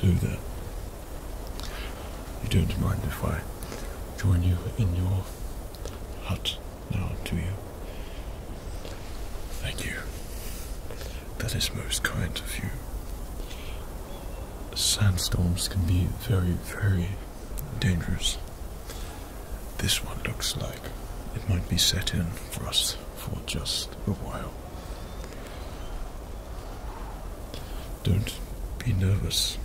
Hello there. You don't mind if I join you in your hut now, do you? Thank you. That is most kind of you. Sandstorms can be very, very dangerous. This one looks like it might be set in for us for just a while. Don't be nervous.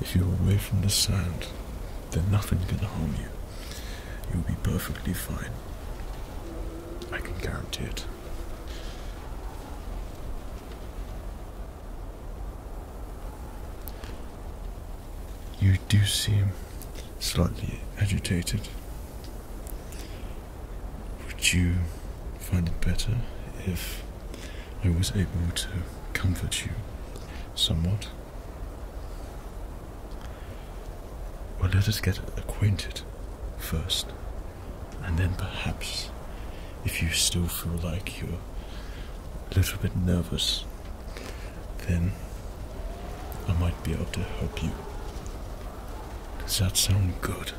If you're away from the sound, then nothing can harm you. You'll be perfectly fine. I can guarantee it. You do seem slightly agitated. Would you find it better if I was able to comfort you somewhat? Well, let us get acquainted first, and then perhaps, if you still feel like you're a little bit nervous, then I might be able to help you. Does that sound good?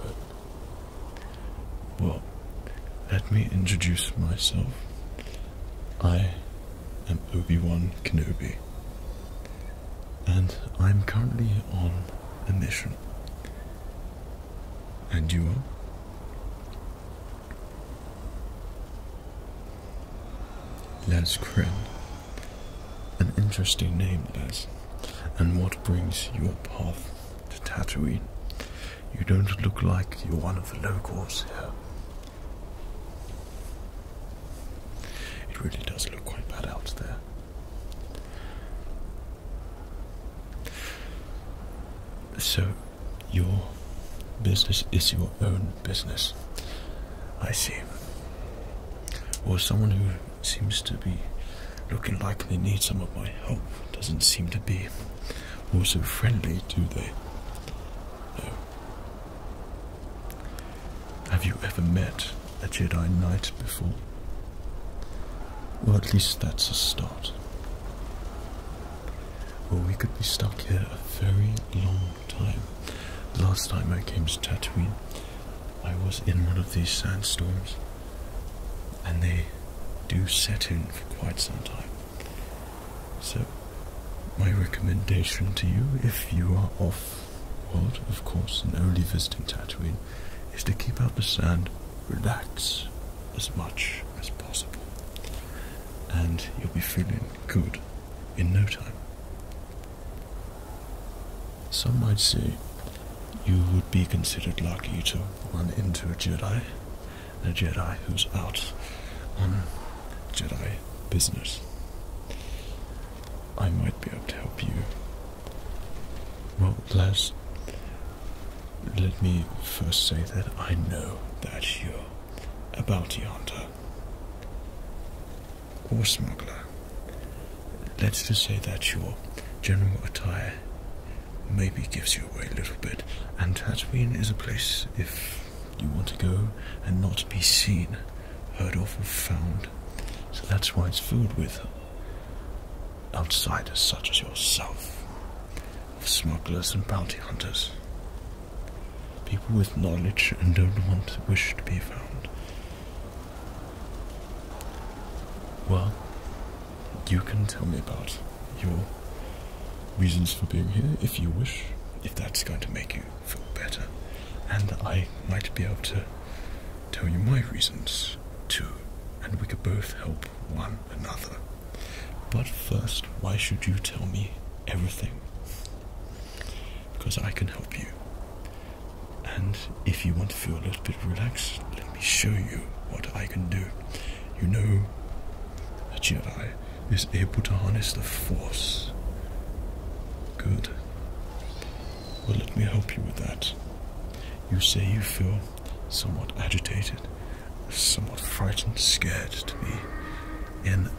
Good. Well, let me introduce myself. I am Obi Wan Kenobi, and I'm currently on a mission and you are? Les Crin. An interesting name, Les. And what brings your path to Tatooine? You don't look like you're one of the locals here. It really does look quite bad out there. So, your business is your own business. I see. Or someone who seems to be looking like they need some of my help doesn't seem to be also friendly, do they? No. Have you ever met a Jedi Knight before. Or at least that's a start. Well, we could be stuck here a very long time. last time I came to Tatooine, I was in one of these sandstorms, and they do set in for quite some time. So, my recommendation to you, if you are off world, of course, and only visiting Tatooine, is to keep out the sand, relax as much as possible, and you'll be feeling good in no time. Some might say you would be considered lucky to run into a Jedi, a Jedi who's out on Jedi business. I might be able to help you well, Les, let me first say that I know that you're a bounty hunter or smuggler. Let's just say that your general attire maybe gives you away a little bit, and Tatooine is a place if you want to go and not be seen, heard of, or found. So that's why it's filled with outsiders such as yourself, of smugglers and bounty hunters, people with knowledge and don't want wish to be found. Well, you can tell me about your reasons for being here if you wish, if that's going to make you feel better, and I might be able to tell you my reasons too, and we could both help one another. But first, why should you tell me everything? Because I can help you. And if you want to feel a little bit relaxed, let me show you what I can do. You know, a Jedi is able to harness the Force. Good. Well, let me help you with that. You say you feel somewhat agitated, somewhat frightened, scared to be in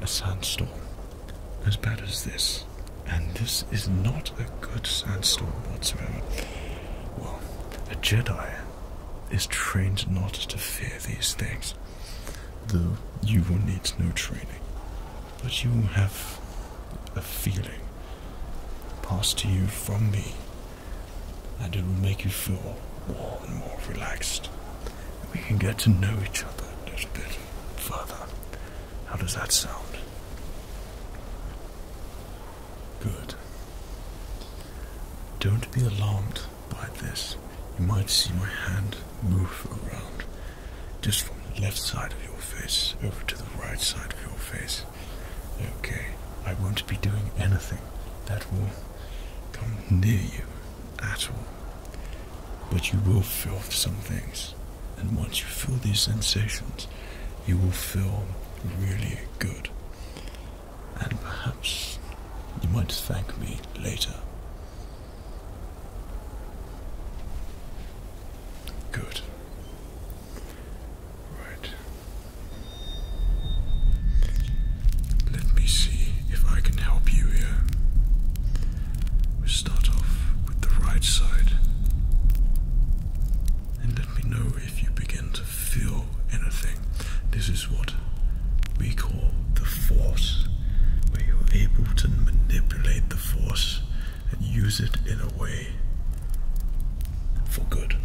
a sandstorm as bad as this. And this is not a good sandstorm whatsoever. Well, a Jedi is trained not to fear these things, though you will need no training. But you have a feeling passed to you from me, and it will make you feel more and more relaxed. We can get to know each other a little bit further. How does that sound? Good. Don't be alarmed by this. You might see my hand move around just from the left side of your face over to the right side of your face. Okay, I won't be doing anything that will come near you at all. But you will feel some things, and once you feel these sensations, you will feel really good. And perhaps you might thank me later. Good. Right. Let me see if I can help you here. We start off with the right side. And let me know if you begin to feel anything. This is what we call the force, where you're able to manipulate the force and use it in a way for good.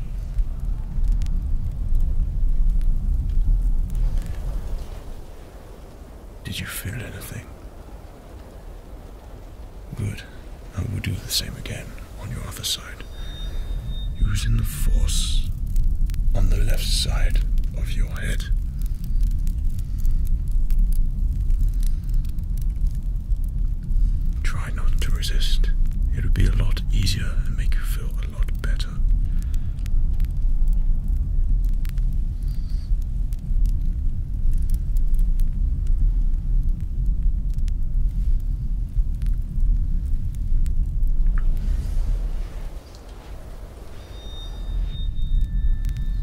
Did you feel anything? Good. I will do the same again on your other side. Using the force on the left side of your head. Try not to resist. It would be a lot easier and make you feel a lot better.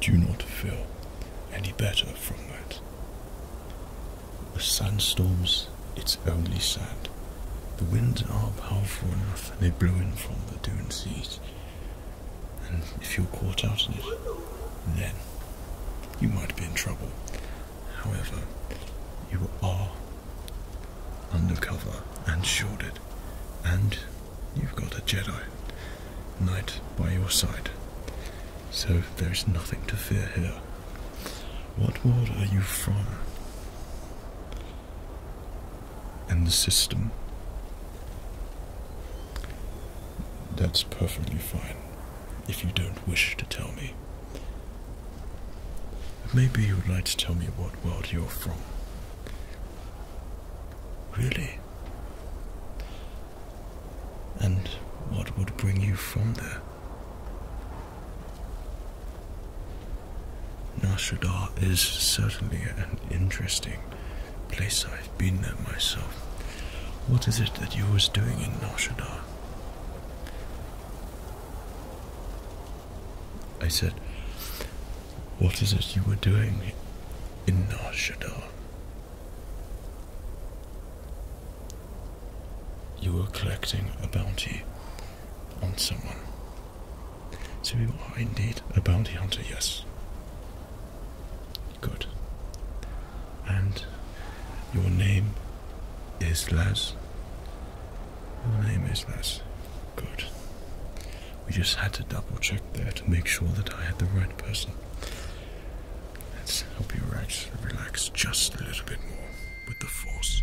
do not feel any better from that. The sandstorms, it's only sand. The winds are powerful enough, they blow in from the dune seas. And if you're caught out in it, then you might be in trouble. However, you are undercover and shielded, and you've got a Jedi Knight by your side. So there's nothing to fear here. What world are you from? and the system. That's perfectly fine if you don't wish to tell me. Maybe you would like to tell me what world you're from. Really? And what would bring you from there? Nashadar is certainly an interesting place I've been there myself. What is it that you was doing in Nar I said, What is it you were doing in Nar You were collecting a bounty on someone. So you are indeed a bounty hunter, yes. Good. And your name is Les. Your name is Les. Good. We just had to double check there to make sure that I had the right person. Let's help you relax, relax just a little bit more with the force.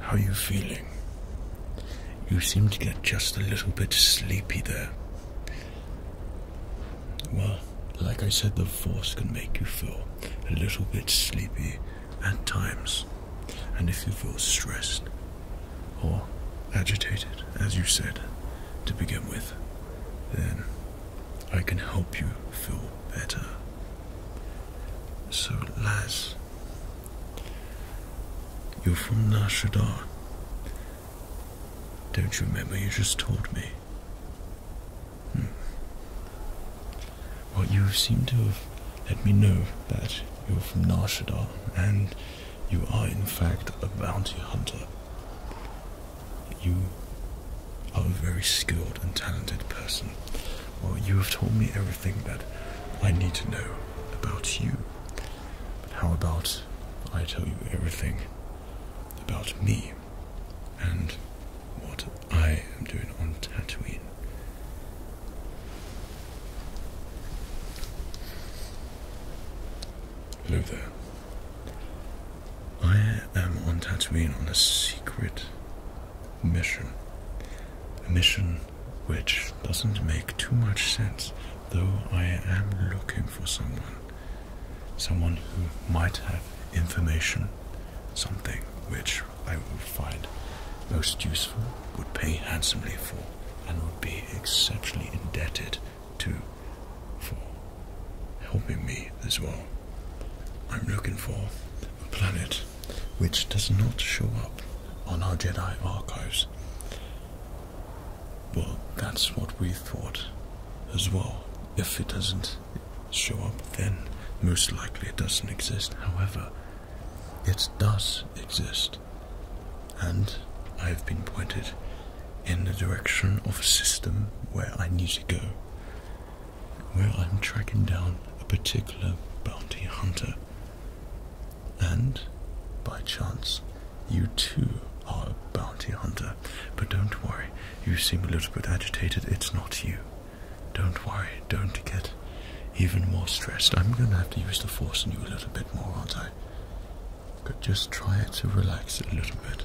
How are you feeling? You seem to get just a little bit sleepy there. Well, like I said, the force can make you feel a little bit sleepy at times. And if you feel stressed or agitated, as you said to begin with, then I can help you feel better. So, Las, you're from Nashadar. Don't you remember you just told me Hmm. Well, you seem to have let me know that you're from Nar and you are in fact a bounty hunter. You are a very skilled and talented person. Well, you have told me everything that I need to know about you. But how about I tell you everything about me and what I am doing on Tatooine. Hello there. I am on Tatooine on a secret mission. A mission which doesn't make too much sense, though I am looking for someone someone who might have information, something which I would find most useful, would pay handsomely for, and would be exceptionally indebted to for helping me as well. I'm looking for a planet which does not show up on our Jedi archives. Well, that's what we thought as well. If it doesn't show up, then most likely it doesn't exist. However, it does exist, and I have been pointed in the direction of a system where I need to go, where I'm tracking down a particular bounty hunter, and by chance, you too are a bounty hunter. Uh, but don't worry, you seem a little bit agitated. It's not you. Don't worry, don't get even more stressed. I'm going to have to use the force on you a little bit more, aren't I? But just try to relax a little bit.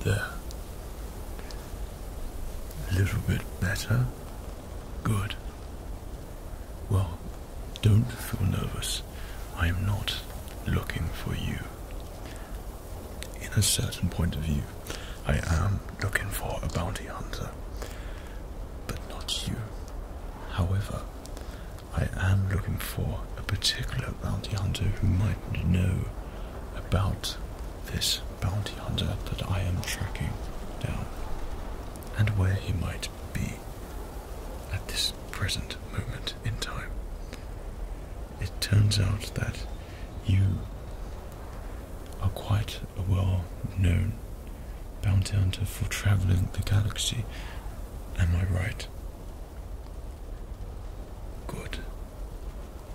There. A little bit better. Good. Well, don't feel nervous. I am not looking for you. In a certain point of view, I am looking for a bounty hunter, but not you. However, I am looking for a particular bounty hunter who might know about this bounty hunter that I am tracking down, and where he might be at this present moment in time. It turns out that you are quite a well known bounty hunter for traveling the galaxy. Am I right? Good.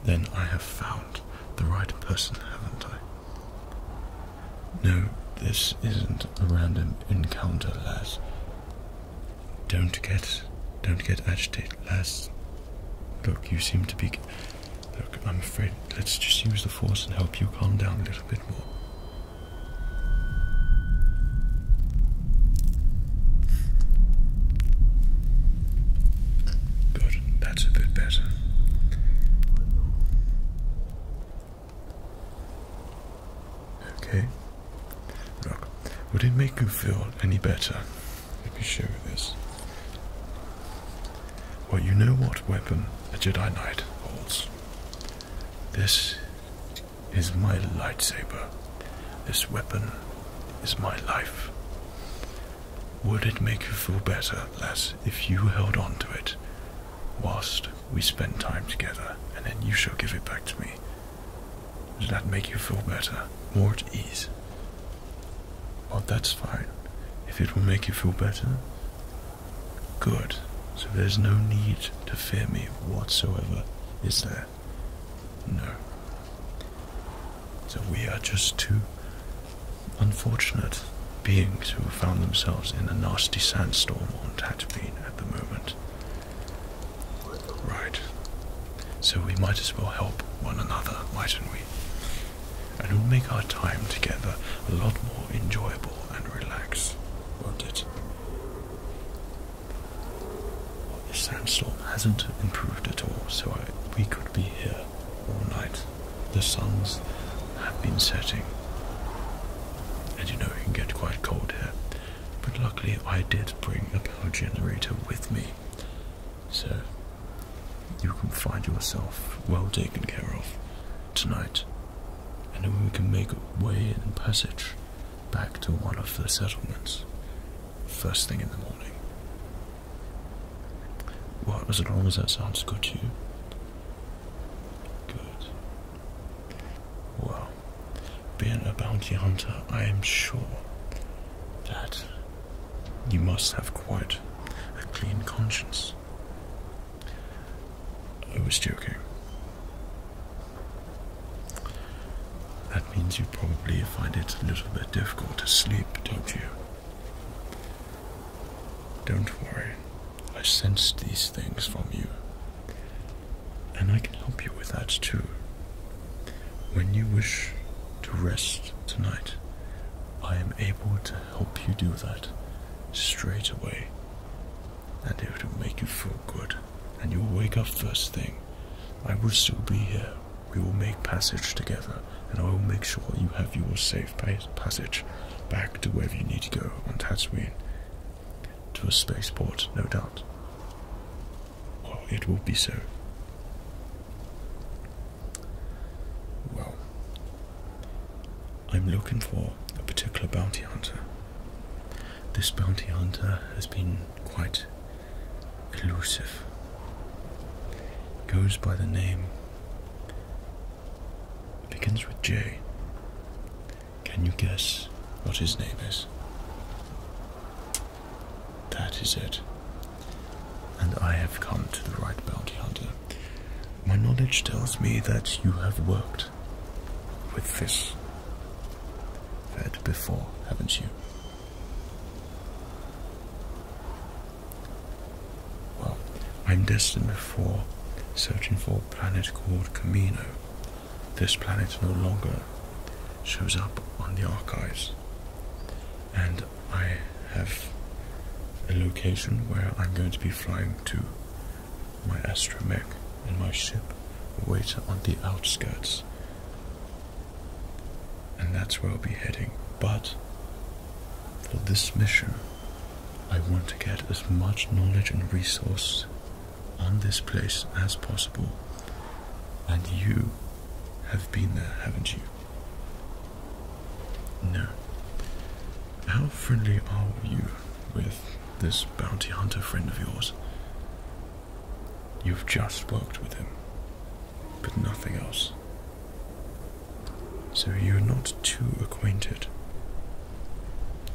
Then I have found the right person, haven't I? No, this isn't a random encounter, lass. Don't get, don't get agitated, lass. Look, you seem to be. Look, I'm afraid. Let's just use the force and help you calm down a little bit more that's a bit better. Okay. Look, would it make you feel any better if you show this? Well, you know what weapon Jedi Knight holds. This is my lightsaber. This weapon is my life. Would it make you feel better, lass, if you held on to it whilst we spend time together, and then you shall give it back to me? Does that make you feel better, more at ease? Well, that's fine. If it will make you feel better, good. So there's no need to fear me whatsoever, is there? No. So we are just two unfortunate beings who found themselves in a nasty sandstorm and had to be at the moment. Right. So we might as well help one another, mightn't we? And it'll make our time together a lot more enjoyable and relaxed, won't it? The sandstorm hasn't improved at all, so we could be here all night. The suns have been setting, and you know it can get quite cold here. But luckily, I did bring a power generator with me, so you can find yourself well taken care of tonight. And then we can make way and passage back to one of the settlements first thing in the morning. Well, as long as that sounds good to you. Good. Well, being a bounty hunter, I am sure that you must have quite a clean conscience. I was joking. That means you probably find it a little bit difficult to sleep, don't you? Don't worry, I sense these things from you. And I can help you with that too. When you wish to rest tonight, I am able to help you do that straight away. And it will make you feel good. And you wake up first thing. I will still be here we will make passage together, and I will make sure you have your safe passage back to wherever you need to go on Tatooine. To a spaceport, no doubt. Well, it will be so. Well, I'm looking for a particular bounty hunter. This bounty hunter has been quite elusive. Goes by the name. Begins with J. Can you guess what his name is? That is it. And I have come to the right bounty hunter. My knowledge tells me that you have worked with this vet before, haven't you? Well, I'm destined for searching for a planet called Camino. This planet no longer shows up on the archives, and I have a location where I'm going to be flying to my astromech and my ship waiter on the outskirts and that's where I'll be heading. But for this mission, I want to get as much knowledge and resource on this place as possible. And you have been there, haven't you? No. How friendly are you with this bounty hunter friend of yours? You've just worked with him but nothing else. So you're not too acquainted.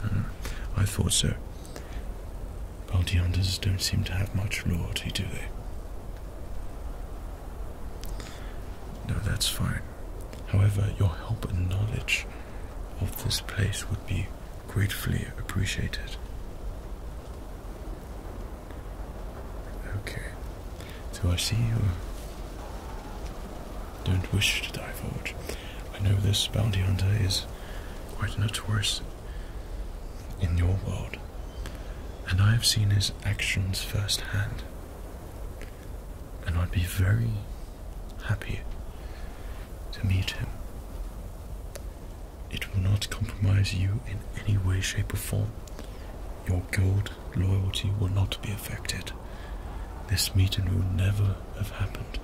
Hmm, I thought so. Baldeanders don't seem to have much loyalty, do they? No, that's fine. However, your help and knowledge of this place would be gratefully appreciated. Okay. So I see you don't wish to divulge. I know this bounty hunter is quite notorious in your world, and I have seen his actions firsthand. And I'd be very happy to meet him it will not compromise you in any way, shape, or form. Your guild loyalty will not be affected. This meeting will never have happened.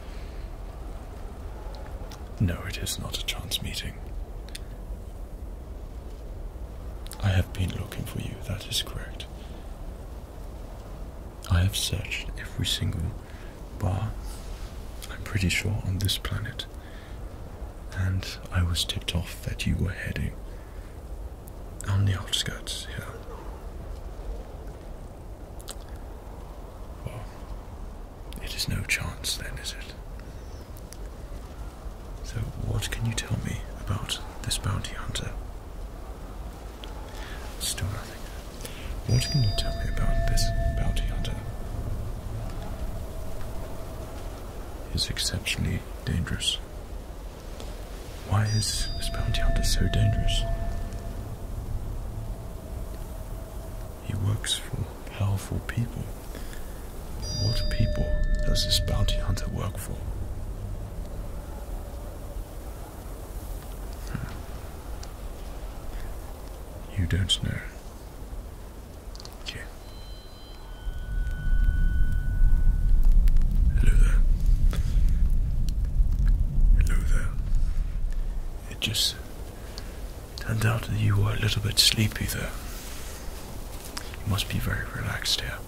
No, it is not a chance meeting. I have been looking for you, that is correct. I have searched every single bar, I'm pretty sure, on this planet and I was tipped off that you were heading on the outskirts here. it is no chance then, is it? So, what can you tell me about this bounty hunter? Still nothing. What can you tell me about this bounty hunter? is exceptionally dangerous. Why is this bounty hunter so dangerous? He works for powerful people. What people does this bounty hunter work for? Hmm. You don't know. Hello there. Hello there. It just turned out that you were a little bit sleepy there. You must be very relaxed here.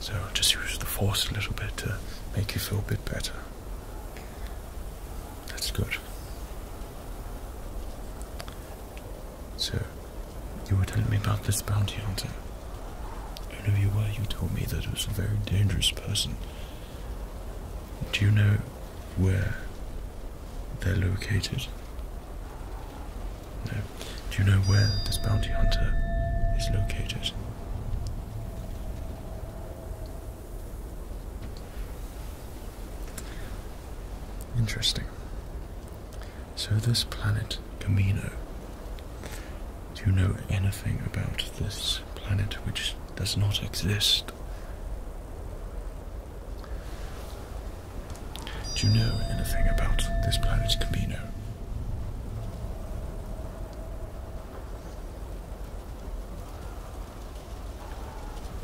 So I'll just use the force a little bit to make you feel a bit better. That's good. So, you were telling me about this bounty hunter. Whoever you were. You told me that it was a very dangerous person. Do you know where they're located? No. Do you know where this bounty hunter is located? Interesting. So, this planet Camino. Do you know anything about this planet which does not exist? Do you know anything about this planet Camino?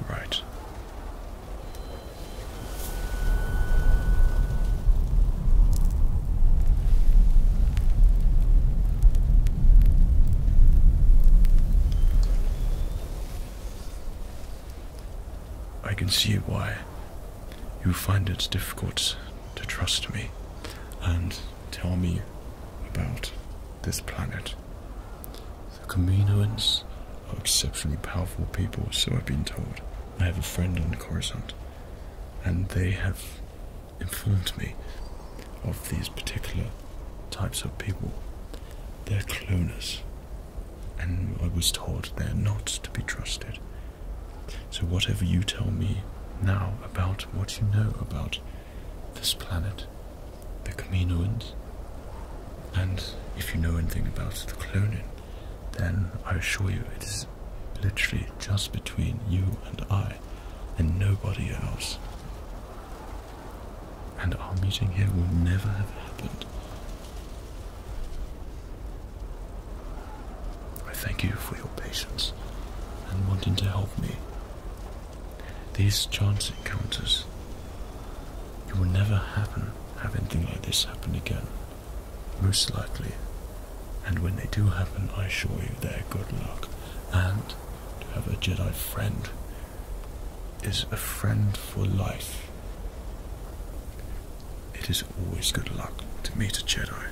Right. I can see why you find it difficult to trust me and tell me about this planet. The Kaminoans are exceptionally powerful people, so I've been told. I have a friend on the Coruscant, and they have informed me of these particular types of people. They're cloners, and I was told they're not to be trusted. So, whatever you tell me now about what you know about this planet, the Caminoans. And if you know anything about the cloning, then I assure you it is literally just between you and I and nobody else. And our meeting here will never have happened. I thank you for your patience and wanting to help me. These chance encounters you will never happen, have anything like this happen again. Most likely. And when they do happen, I assure you they're good luck. And to have a Jedi friend is a friend for life. It is always good luck to meet a Jedi.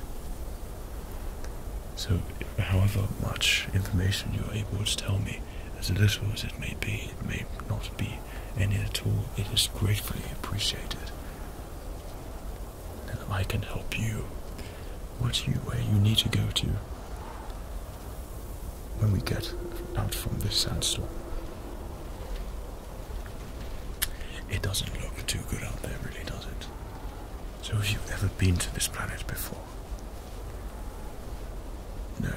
So, however much information you are able to tell me, as little as it may be, it may not be me any at all, it is gratefully appreciated. I can help you. What you where you need to go to when we get out from this sandstorm. It doesn't look too good out there, really, does it? So have you ever been to this planet before? No.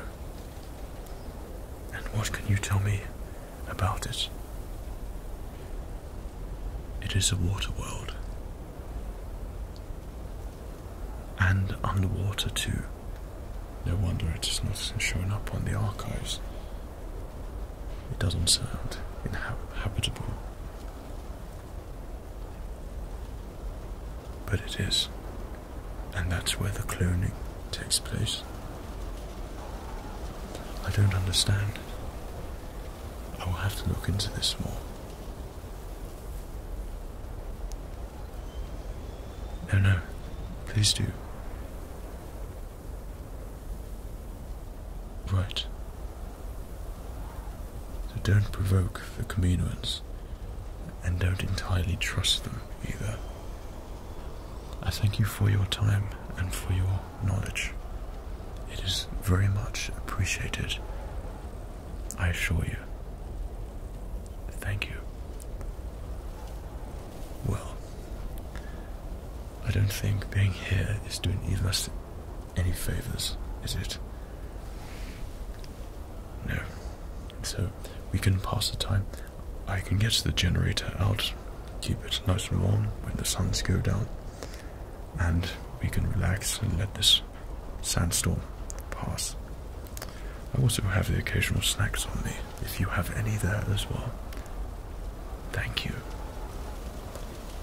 And what can you tell me about it? It is a water world. And underwater, too. No wonder it is not shown up on the archives. It doesn't sound inhabitable. But it is and that's where the cloning takes place. I don't understand. I will have to look into this more. No, no, please do. Right. So don't provoke the Caminoans and don't entirely trust them either. I thank you for your time and for your knowledge. It is very much appreciated, I assure you. Thank you. Well, I don't think being here is doing either of us any favors, is it? No. So we can pass the time. I can get the generator out, keep it nice and warm when the suns go down, and we can relax and let this sandstorm pass. I also have the occasional snacks on me, if you have any there as well. Thank you.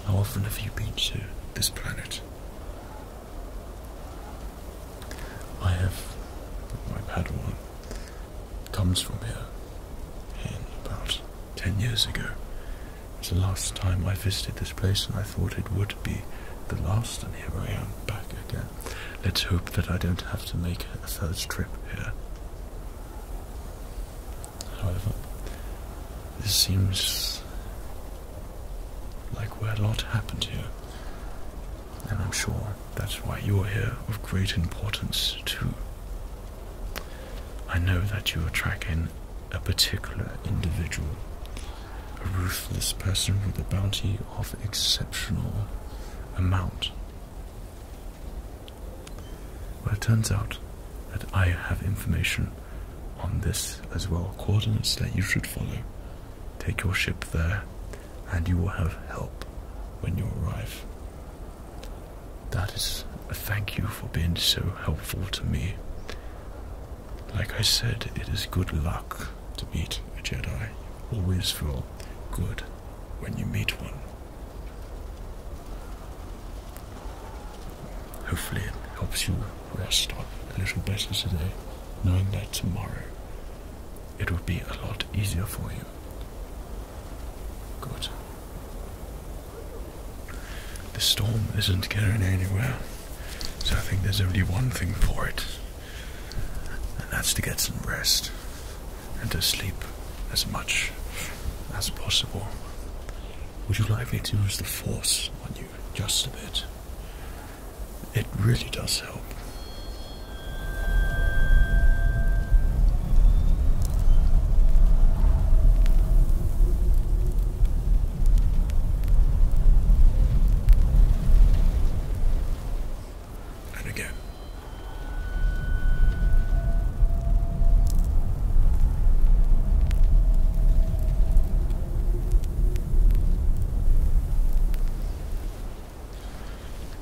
How often have you been to this planet? I have my Padawan comes from here and about 10 years ago. It's the last time I visited this place and I thought it would be the last and here I am back again. Let's hope that I don't have to make a third trip here. However, this seems like where a lot happened here and I'm sure that's why you're here of great importance too. I know that you are tracking a particular individual, a ruthless person with a bounty of exceptional amount. Well, it turns out that I have information on this as well coordinates that you should follow. Take your ship there and you will have help when you arrive. That is a thank you for being so helpful to me. Like I said, it is good luck to meet a Jedi. Always feel good when you meet one. Hopefully, it helps you rest a little better today, knowing that tomorrow it would be a lot easier for you. Good. The storm isn't going anywhere, so I think there's only one thing for it, and that's to get some rest and to sleep as much as possible. Would you like me to use the force on you just a bit? it really does help. And again.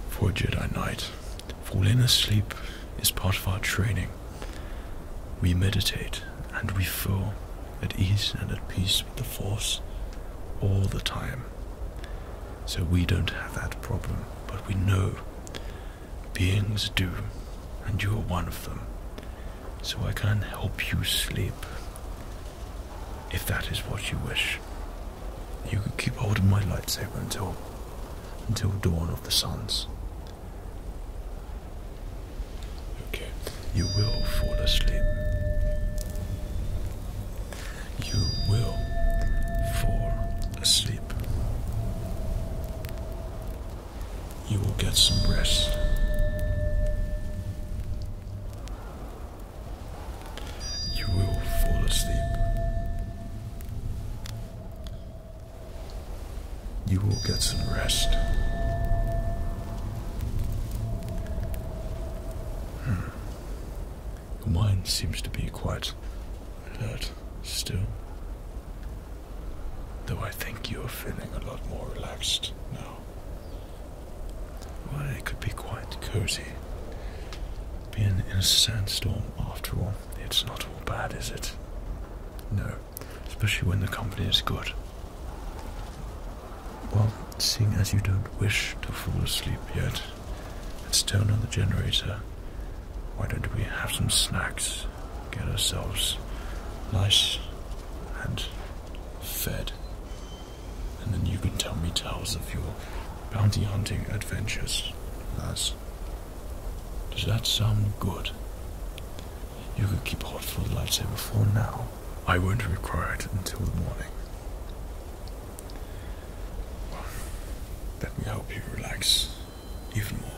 For a Jedi Knight, falling asleep is part of our training. We meditate and we feel at ease and at peace with the Force all the time. So we don't have that problem, but we know beings do, and you are one of them. So I can help you sleep if that is what you wish, you can keep holding my lightsaber until until dawn of the suns. Okay, you will fall asleep. You will fall asleep. You will get some rest you will fall asleep. You will get some rest. Hmm. Your mind seems to be quite alert still. Though I think you are feeling a lot more relaxed now well, it could be quite cozy. Being in a sandstorm, after all, it's not all bad, is it? No, especially when the company is good. Well, seeing as you don't wish to fall asleep yet, let's turn on the generator. Why don't we have some snacks? Get ourselves nice and fed and then you can tell me tales of your bounty hunting adventures, Does that sound good? You can keep hold for the lightsaber for now. I won't require it until the morning. let me help you relax even more.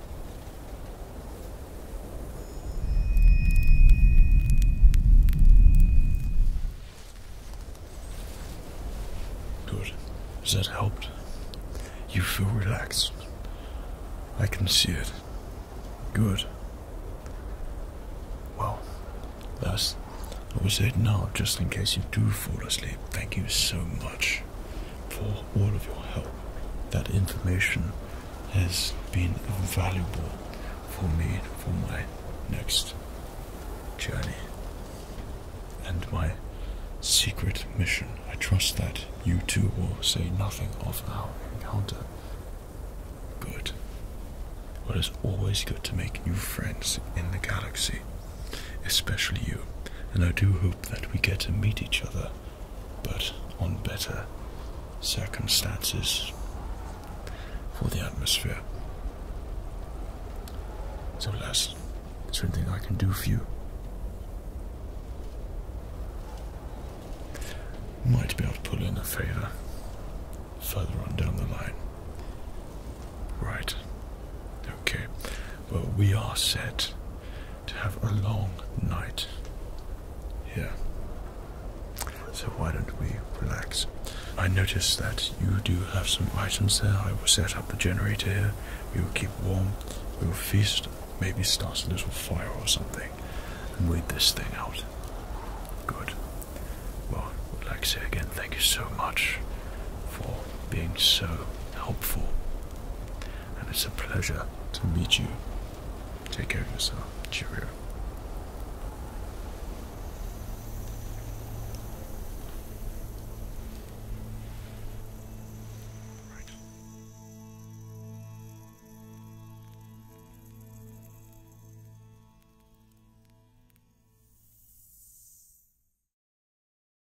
Good. Has that helped? You feel relaxed. I can see it. Good. Well, that's. I was it now, just in case you do fall asleep. Thank you so much for all of your help. That information has been valuable for me for my next journey and my secret mission. I trust that you too will say nothing of our encounter. Good. Well, it is always good to make new friends in the galaxy especially you. And I do hope that we get to meet each other, but on better circumstances for the atmosphere. So, Les, is there anything I can do for you? Might be able to pull in a favor further on down the line. Right. Okay. But we are set to have a long night here. So why don't we relax? I notice that you do have some items there. I will set up the generator here. We will keep warm. We will feast. Maybe start a little fire or something. And wait this thing out. Good. Well, relax here again. Thank you so much for being so helpful. And it's a pleasure to meet you. Take care of yourself. Cheerio.